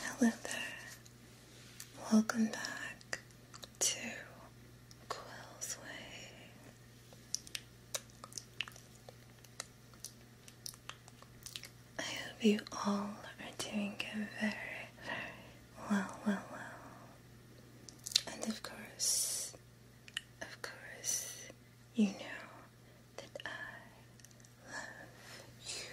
Hello there. Welcome back to Quill's Way. I hope you all are doing very, very well, well, well. And of course, of course, you know that I love you.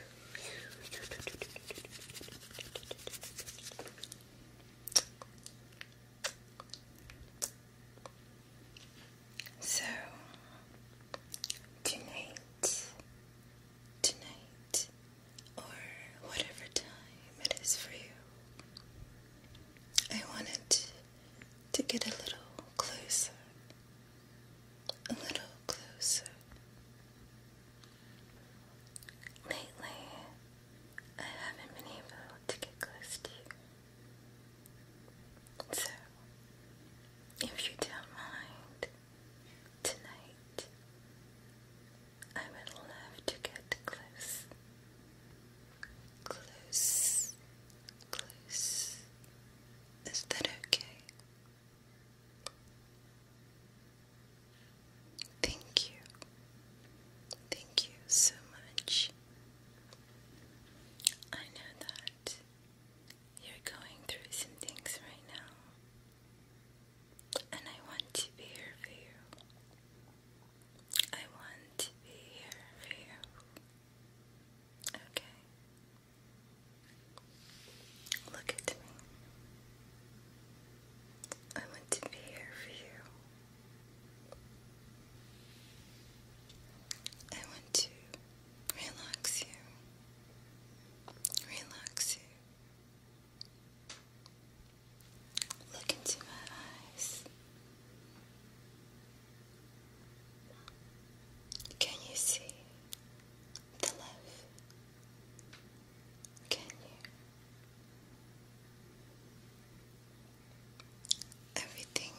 So tonight, tonight, or whatever time it is for you, I wanted to get a little closer a little closer. Lately, I haven't been able to get close to you. So, if you don't mind, tonight I would love to get close. Close. Close. Is that okay? Thank you. Thank you so much. I know that you're going through some things right now, and I want to be here for you. I want to be here for you. Okay. Look at me. I want to be here for you. I want to relax you. Relax you. Look into my eyes. Can you see the love? Can you? Everything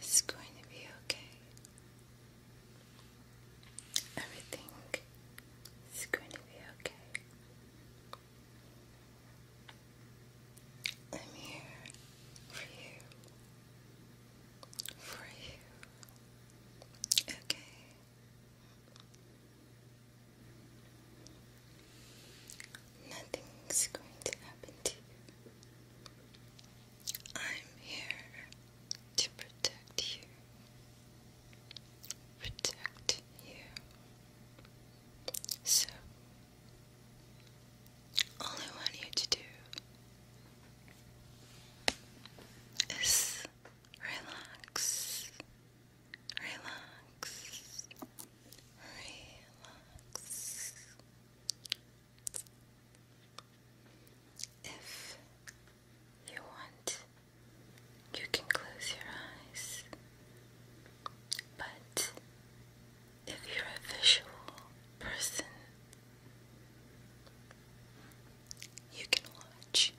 is going to be okay. Everything is going to be okay. I'm here for you for you. Okay. Nothing's going to happen to you. I'm here to protect you. Protect you. So, all I want you to do relax, relax, relax. If you want, you can close your eyes, but if you're a visual person, you can watch.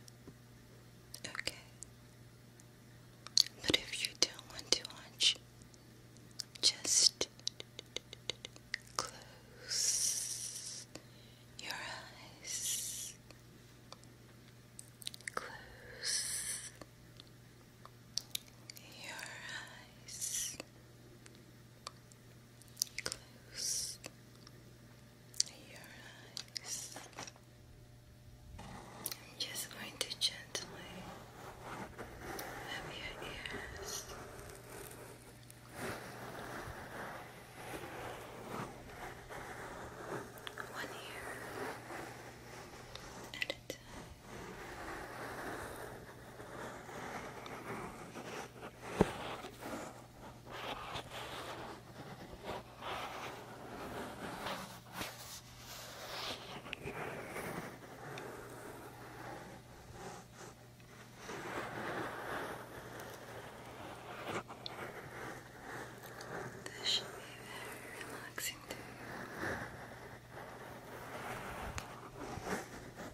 Okay. But if you don't want to watch, just close your eyes. Close your eyes. Close your eyes. I'm just going to gently have your ears. One ear at a time. This should be very relaxing too.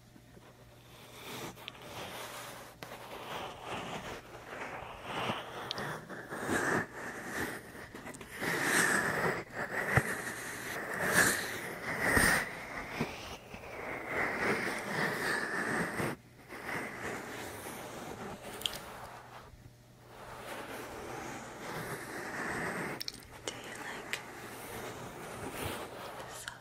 Do you like the sound softness of my hands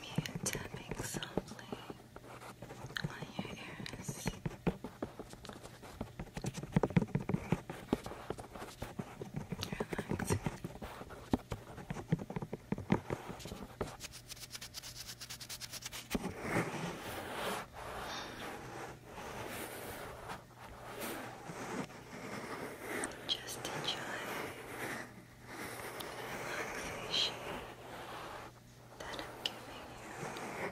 Me tapping softly on your ears. Relaxing. Just enjoy the relaxation that I'm giving you.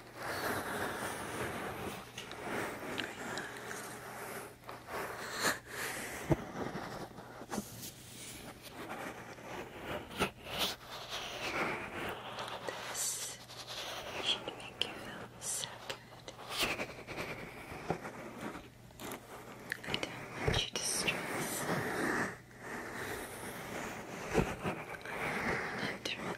This should make you feel so good. I don't want you to stress. I want you to relax.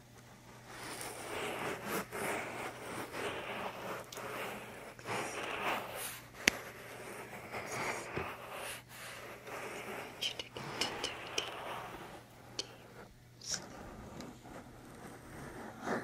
you to get into a deep, deep sleep. Deep, deep sleep.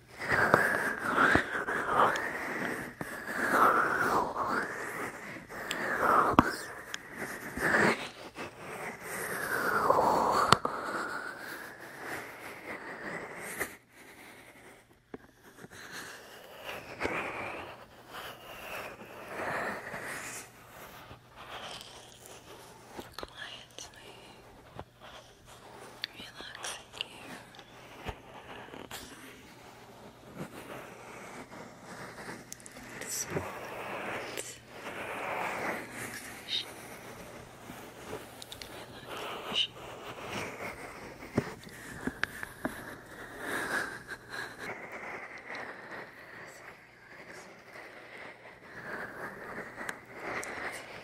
Quietly. Relaxing here. It's relaxation. Relaxation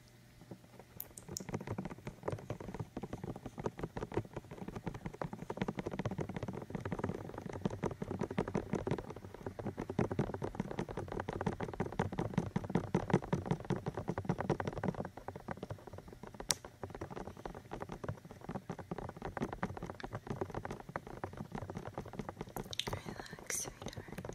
Relax, sweetheart.